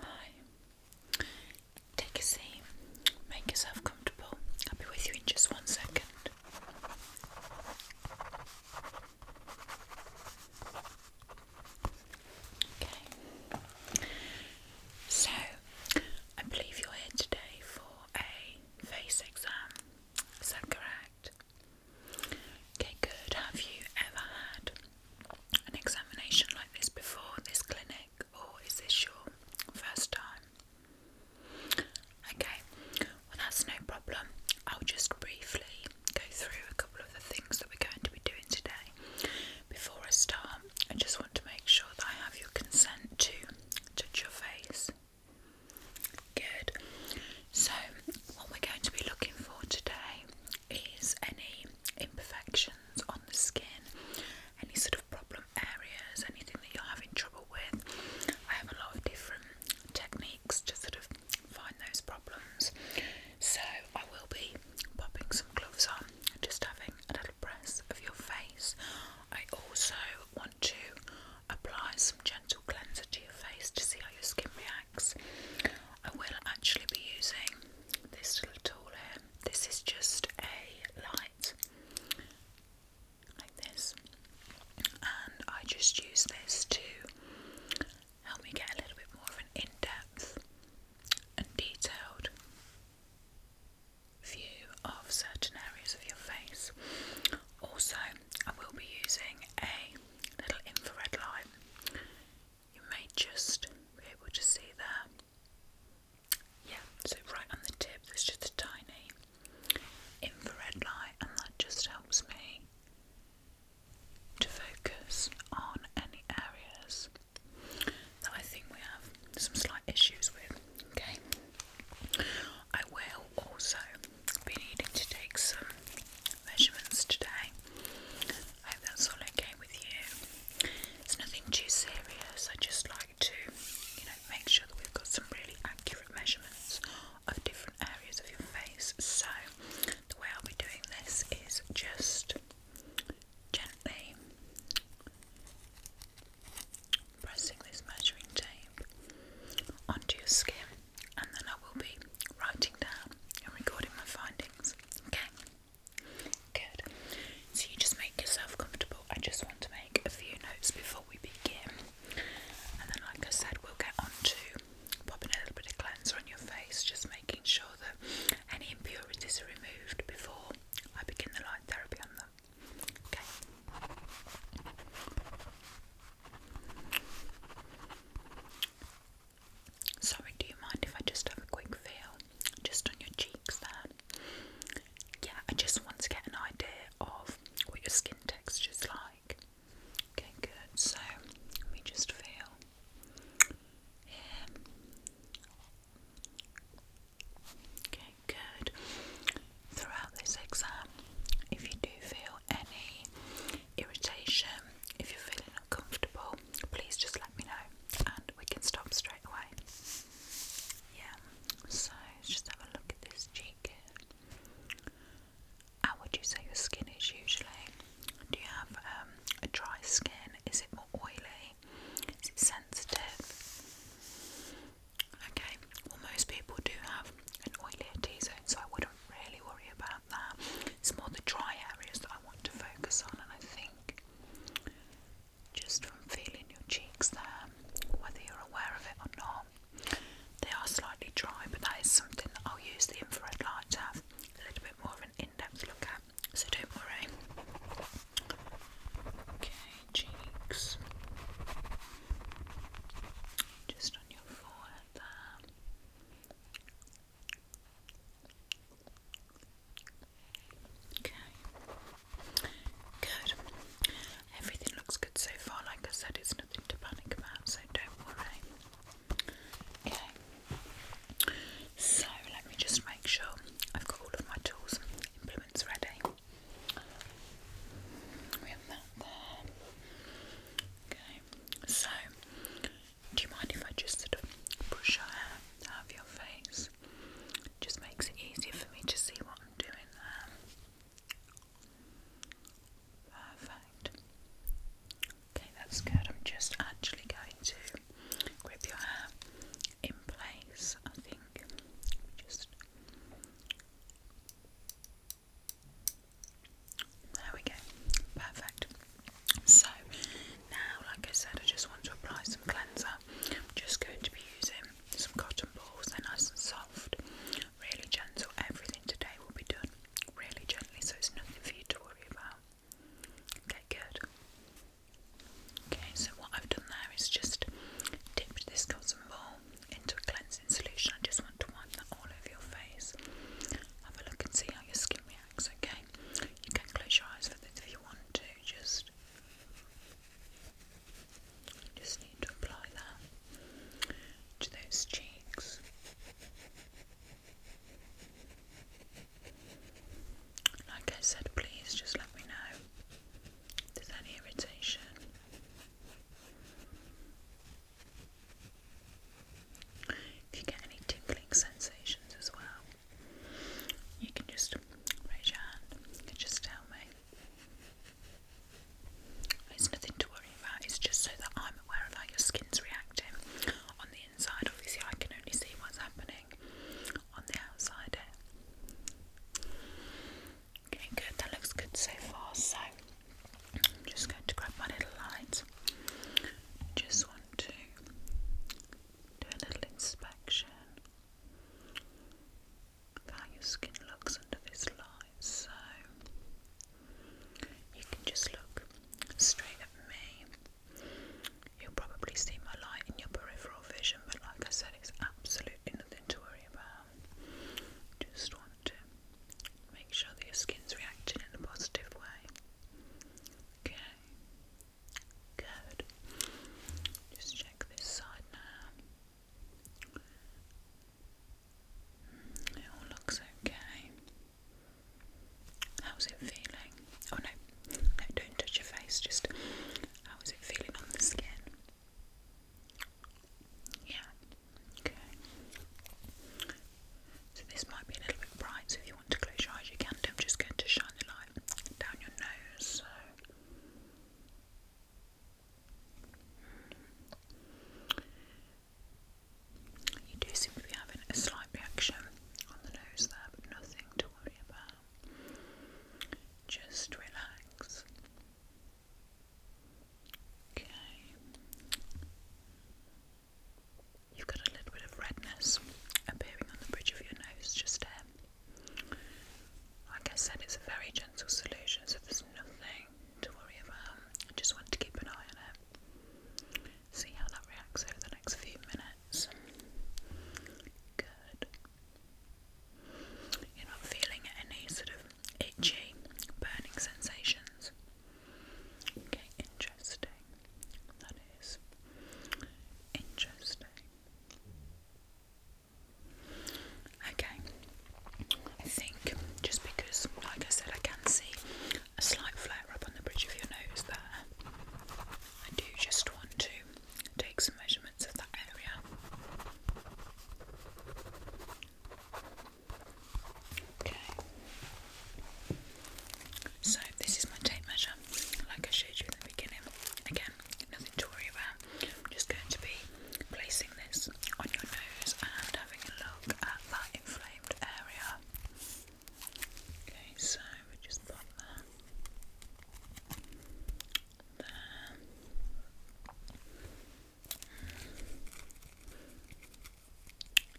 Hi. Take a seat. Make yourself comfortable. I'll be with you in just one second. Okay. So, I believe you're here today for a face exam. Is that correct? Okay, good. Have you ever had an examination like this before, this clinic, or is this your first time? Okay, well, that's no problem. I'll just briefly go through a couple of the things that we're going to be doing today. Before I start, I just want to make sure that I have your consent to touch your face. Good. So, what we're going to be looking for today is any imperfections on the skin, any sort of problem areas, anything that you're having trouble with. I have a lot of different techniques to sort of find those problems. So, I will be popping some gloves on and just having a little press of your face. I also want to apply some gentle cleanser to your face to see how your skin reacts. I will actually be using this little tool here. This is just a light like this, and I just use this to help me get a little bit more of an in depth and detailed view of certain areas of your face. Also, I will be using a little infrared light, you may just be able to see there. Yeah, so right on the tip, there's just a tiny infrared light, and that just helps me to focus on any areas that I think we have some slight issues with. Okay, I will also be needing to take some measurements today. I hope that's all okay with you. It's nothing too serious, I just like to, you know, make sure that we've got some really accurate measurements of different areas of your face. So, the way I'll be doing this is just gently pressing this measuring tape onto your skin and then I will be writing down and recording my findings. Okay? Good. So you just make yourself comfortable. I just want to make a few notes before we begin. And then, like I said, we'll get on to popping a little bit of cleanser on your face, just making sure that any impurities are removed before I begin the light therapy on them. Okay? Sorry, do you mind if I just have a quick feel just on your cheeks there? Yeah, I just want to get an idea of what your skin texture is like. Okay, good. So, let me just feel here. Okay, good throughout this exam. If you do feel any irritation, if you're feeling uncomfortable, please just let me know and we can stop straight away. Yeah, so let's just have a look at this cheek How would you say your skin is usually? Do you have um, a dry skin? Is it more oily? Is it sensitive? Okay, well, most people do have an oilier T zone, so I wouldn't really worry about that. It's more the dry areas that I want to focus on, and I think just from feeling your cheeks there, whether you're aware of it or not, they are slightly dry, but that is something that I'll use the infrared light to have a little bit more of an in depth look at, so don't worry. Okay cheeks, just on your forehead there. Okay. Good. Everything looks good so far. Like I said, it's nothing to panic about, so don't worry. Okay. So let me just make sure I've got all of my tools implements ready. Okay, so do you mind if I just push your hair out of your face? just makes it easier for me to see what I'm doing there. Perfect. Okay, that's good. I'm just actually going to grip your hair in place, I think. Just there we go, perfect. So now, like I said, I just want to apply some cleanser. I'm just going to be using some cotton balls, they're nice and soft, really gentle. Everything today will be done really gently, so it's nothing for you to worry about. Okay, good. Okay, so what I've done there is just dipped this cotton ball into a cleansing solution. I just want to wipe that all over your face. Have a look and see how your skin reacts, okay? You can close your eyes for this if you want to, just just need to apply that to those cheeks. Like I said, please just let me know if there's any irritation. If you get any tinkling sensations as well, you can just raise your hand, you just tell me. It's nothing to worry about, it's just so that I'm aware of how your skin's reacting. On the inside, obviously, I can only see what's happening on the outside Okay, good. That looks good so far. So I'm just going to grab my little light. Just want to do a little inspection of how your skin looks under this light. So you can just look straight at me. You'll probably see my light in your peripheral vision, but like I said, it's absolutely nothing to worry about. Um, just want to make sure that your skin's reacting in a positive way. Okay, good. Just check this side now. Mm, it all looks okay. How's it feeling? Oh no, no, don't touch your face. Just how is it feeling on the skin? Yeah. Okay. So this might be a little bit bright, so if you want to close your eyes, you I'm just going to shine the light down your nose. So. You do seem to be having a slight reaction on the nose there, but nothing to worry about. Just relax. Okay. You've got a little bit of redness appearing on the bridge of your nose just there. Like I said, it's a very gentle solution, so there's nothing to worry about. I just want to keep an eye on it. See how that reacts over the next few minutes. Good. You're not feeling any sort of itchy, burning sensations. Okay, interesting. That is interesting. Okay, I think just because, like I said, I can see a slight flare up on the bridge of your nose there, I do just want to take some measurements of that area. Okay. So this is my tape measure, like I showed you in the beginning. Again, nothing to worry about. I'm just going to be placing this on your nose and having a look at that inflamed area. Okay, so we just pop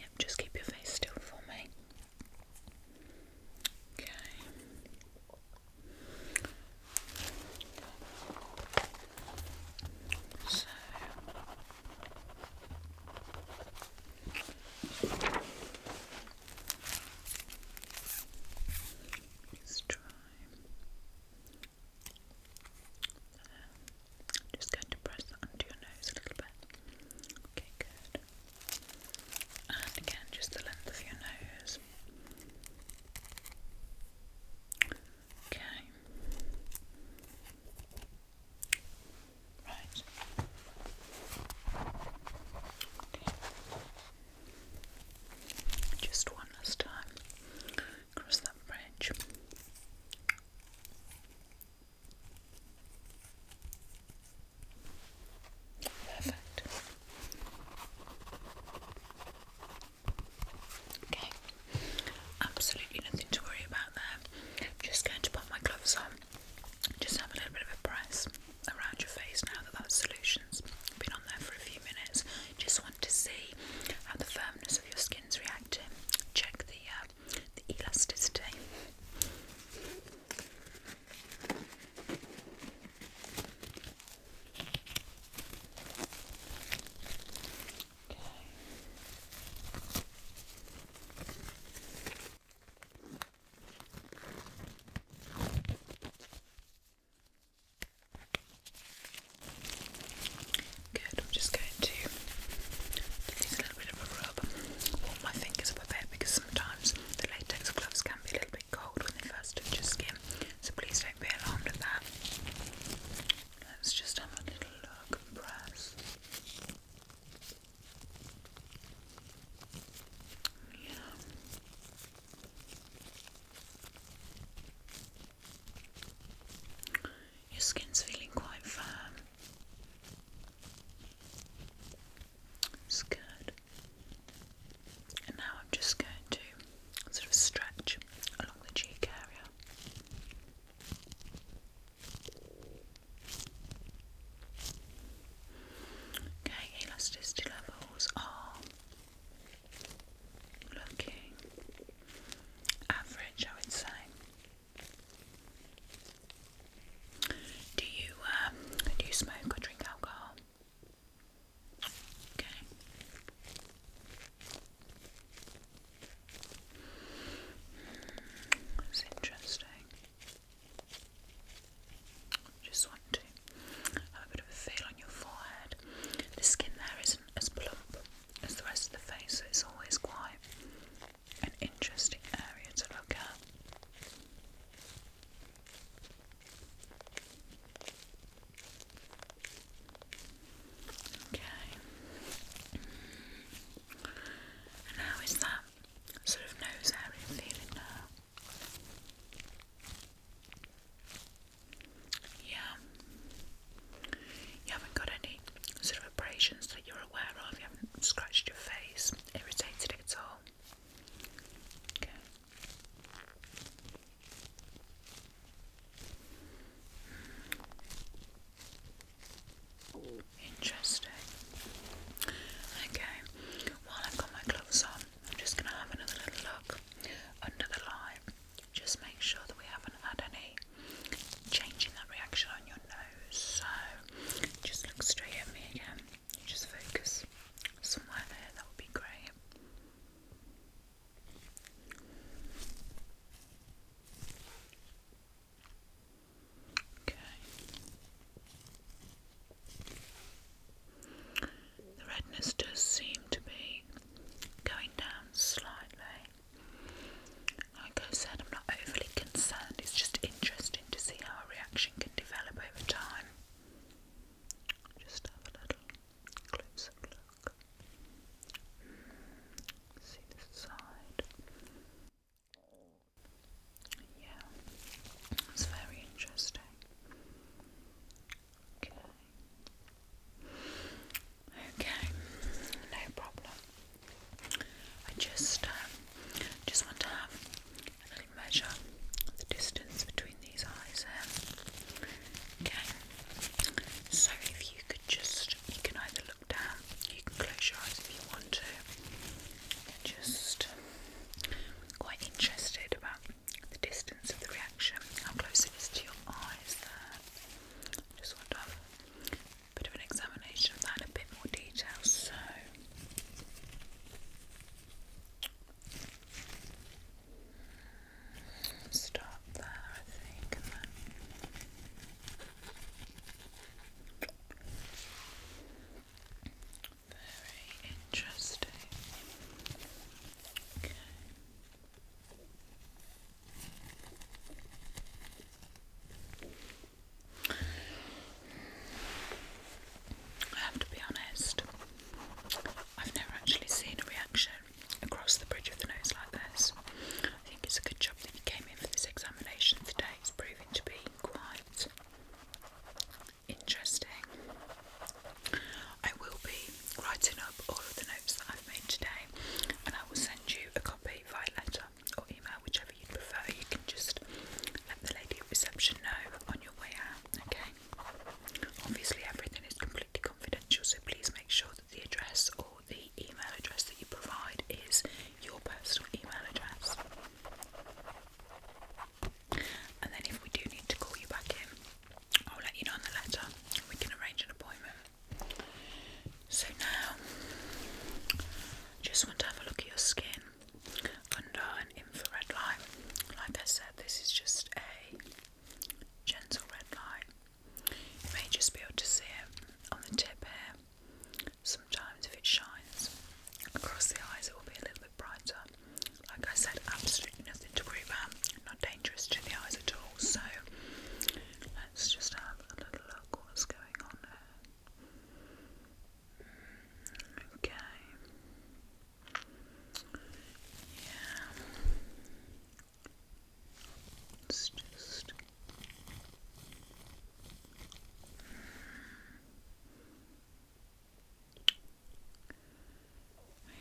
Yep, just keep your face still for me. Okay. So let try. just going to press that onto your nose a little bit. Okay, good. And again, just the length of your nose. Okay. Right. Just one last time. Cross that bridge. Perfect. Okay. Absolutely nothing to worry about there. just going to put my gloves on. Just have a little bit of a press around your face now that that's solutions been on there for a few minutes. Just want to see how the firmness of your skin's reacting. Check the uh, the elasticity. Okay. Good, I'm just going to use a little bit of a rub, warm my fingers up a bit because sometimes the latex gloves can be a little bit cold when they first touch skin, so please don't be alarmed at that. Let's just have a little look and press. Your skin's feeling quite firm. It's good. And now I'm just going to sort of stretch along the cheek area. Okay, elasticity levels are looking average, I would say. Do you um, do you smoke or drink alcohol? Okay. Hmm, interesting. Just want to have a bit of a feel on your forehead. The skin there isn't as plump as the rest of the face, so it's always quite an interesting area to look at. Okay. And how is that sort of nose area feeling now? Yeah. You haven't got any sort of abrasions that you're aware of, you haven't scratched your face, irritated it at all. Okay. Hmm. Interesting. Okay, while I've got my gloves on, I'm just going to have another little look under the light. Just make sure that we haven't had any change that reaction on your nose. So just look straight at me again. just focus somewhere there, that would be great. Okay. The redness does seem to be going down slightly. Like I said, I'm not overly concerned, it's just interesting to see how a reaction can develop over time. Just have a little close look. See the side. Yeah, it's very interesting. Okay. Okay, no problem. I just um, just want to have a little measure the distance between these eyes here. Okay. So if you could just you can either look down, you can close your eyes if you want to just quite interested about the distance of the reaction, how close it is to your eyes there. Just want to bit of an examination of that in a bit more detail. So start there, I think, very interesting. I have to be honest, I've never actually seen a reaction across the bridge of the nose like this. I think it's a good job that you came in for this examination today. It's proving to be seem quite interesting. I will be writing up all of the notes that I've made today and I will send you a copy via letter or email, whichever you prefer. You can just let the lady at reception know on your way out, okay? Obviously, everything is completely confidential, so please make sure that the address or the email address that you provide is your personal email address. And then if we do need to call you back in, I'll let you know in the letter. We can arrange an appointment. So now, just want to have a look at your skin under an infrared light. Like I said, this is just a gentle red light. You may just be able to see it on the tip here. Sometimes, if it shines across the eyes, it will be a little bit brighter. Like I said, absolutely nothing to worry about, not dangerous to the eyes at all. So, let's just have a little look what's going on there. Okay. Yeah. just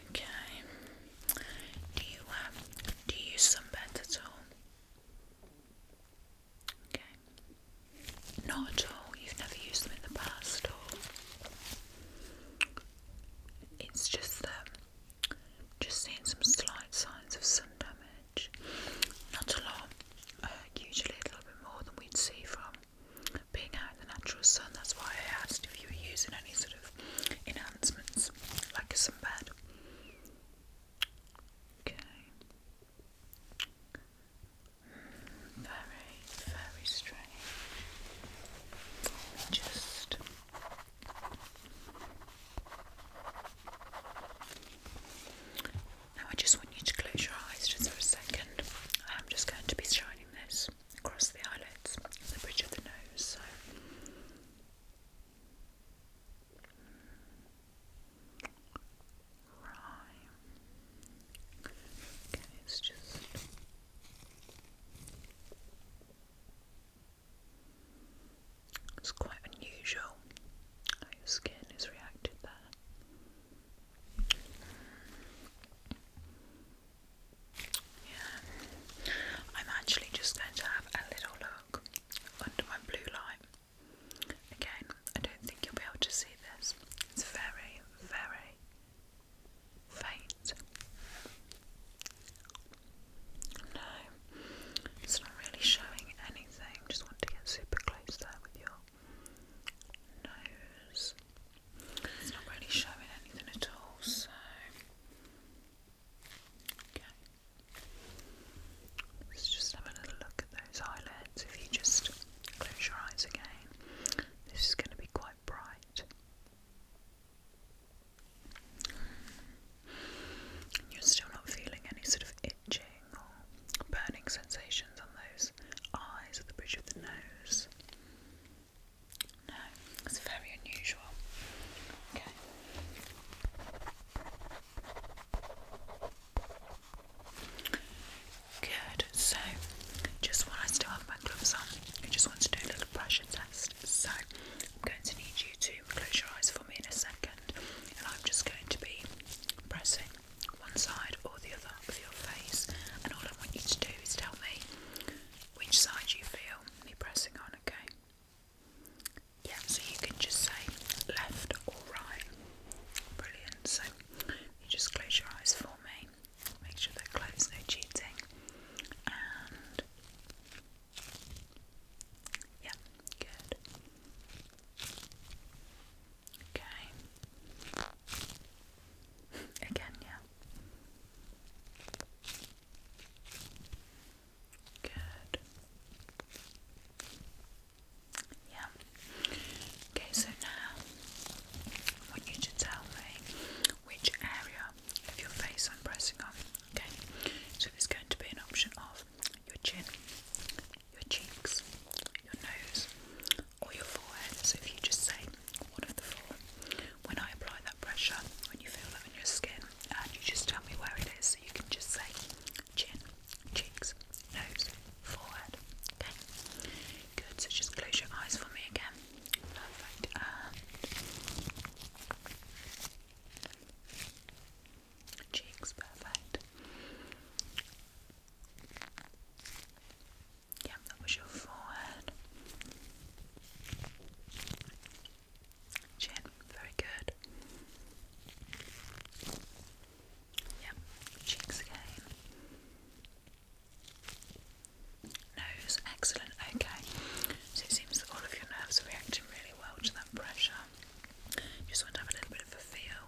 Okay. Do you um do you use sunbed at all? Okay. Not at all. You've never used them in the past or it's just that um, just seeing some slight signs of sun damage. Not a lot. Uh, usually a little bit more than we'd see from being out in the natural sun. That's why I asked if you were using any sort of enhancements, like a sunbed. Okay. Hmm, very, very strange. Just. Now I just want you to close your eyes just for a second. I am just going to be shining this across the eyelids, the bridge of the nose. So. Right. Okay, it's just. It's quite unusual how your skin has reacted there. Yeah. I'm actually just going to have a little look under my blue light. Again, I don't think you'll be able to see this. It's very, very faint. No, it's not really showing anything. Just want to get super close there with your nose. It's not really showing anything at all, so. Let's just have a little look at those eyelids. If you just close your eyes again, this is going to be quite bright. You're still not feeling any sort of itching or burning sensations on those eyes or the bridge of the nose. No, it's very unusual. Okay. Good. So, just while I still have my gloves on, I just want to do a little pressure test. So, I'm going to need you to close your eyes for me in a second and I'm just going to be pressing one side or the other of your face. And all I want you to do is tell me which side you feel me pressing on, okay? Yeah, so you can just say left or right. Brilliant. So you just close your eyes for me. Make sure they're closed, no cheating. And yeah, good. Okay. Again, yeah. Good. Yeah. Okay, so now I want you to tell me which area of your face I'm pressing on. Okay, so there's going to be an option of your chin, your cheeks, your nose, or your forehead. So if you just say one of the four, when I apply that pressure, when you feel that in your skin, and you just tell me where it is, so you can just say chin, cheeks, nose, forehead. Okay, good. So just close your eyes for me again. Perfect. And Cheeks, perfect. Yeah, that was your forehead. Chin, very good. Yep, cheeks again. Nose, excellent. Okay, so it seems that all of your nerves are reacting well to that pressure. just want to have a little bit of a feel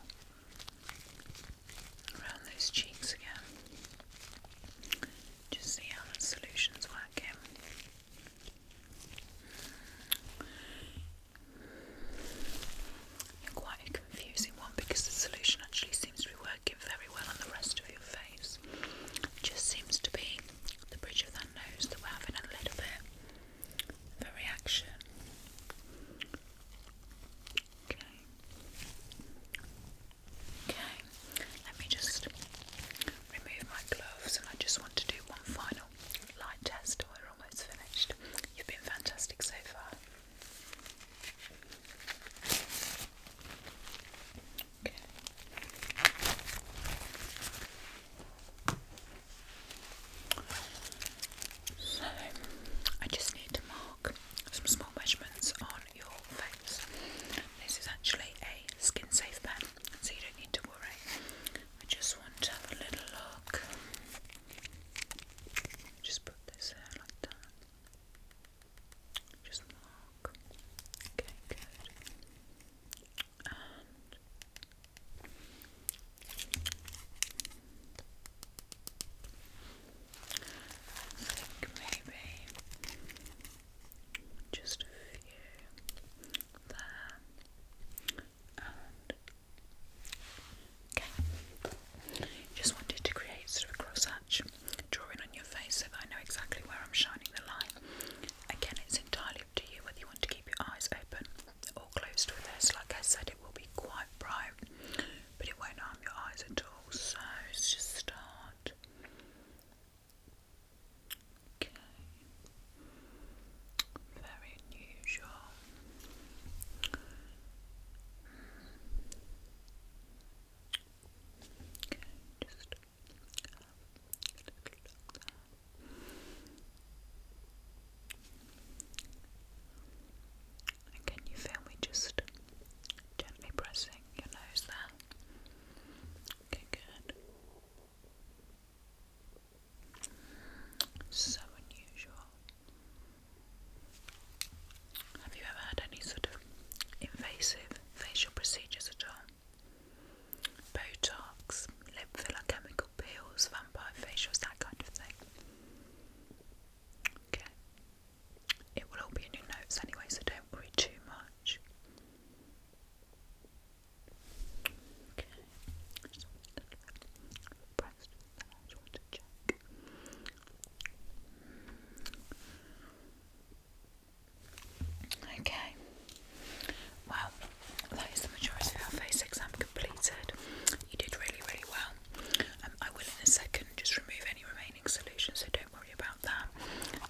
around those cheeks again. Just see how that solution's working. you quite a confusing one because the solution actually seems to be working very well on the rest of your face. just seems to be the bridge of that that we're having a little bit of a reaction. Okay. Okay, let me just remove my gloves and I just want to do one final light test. We're almost finished. You've been fantastic so far. Okay. So, I just need to mark some small measurements on your face. This is actually a skin safe pen, so you don't need to worry. I just want to have a little look. Just put this there like that. Just mark. Okay, good. And I maybe just a few there okay. Just wanted to create sort of a cross drawing on your face so I know exactly where I'm shining the line. Again, it's it's entirely up to you whether you want to keep your eyes open or closed with this. Like I said, it will be quite bright, but it won't harm your eyes at all. So let's just start. Okay. Very unusual. Hmm. Okay, just can you feel me just gently pressing your nose there? Okay, good. So unusual. Have you ever had any sort of invasive facial procedures at all? Botox, lip filler, chemical peels, vampire facials, that kind of thing. Okay. It will all be in your notes anyway, so don't worry too much. Okay. Okay. Well, that is the majority of our face exam completed. You did really, really well. Um, I will in a second just remove any remaining solutions, so don't worry about that.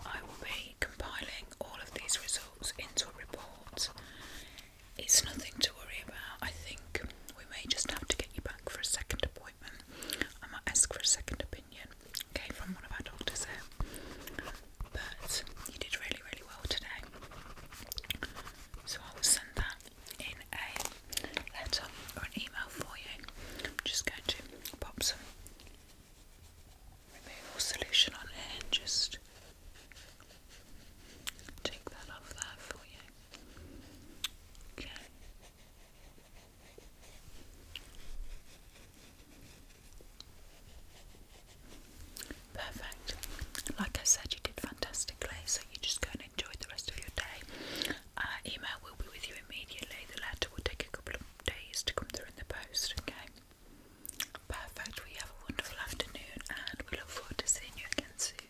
I will be compiling all of these results into a report. It's nothing to worry about. I think we may just have to get you back for a second appointment. I am gonna ask for a second opinion. Okay, from one of our doctors there, But you did really, really well today. So I will send that in a letter or an email for you. I'm just going to pop some removal solution on it and just take that off there for you. Okay. Perfect. Like I said, you did fantastically, so you just go and enjoy the rest of your day. Uh, email will be with you immediately. The letter will take a couple of days to come through in the post, okay? Perfect. We have a wonderful afternoon and we look forward to seeing you again soon.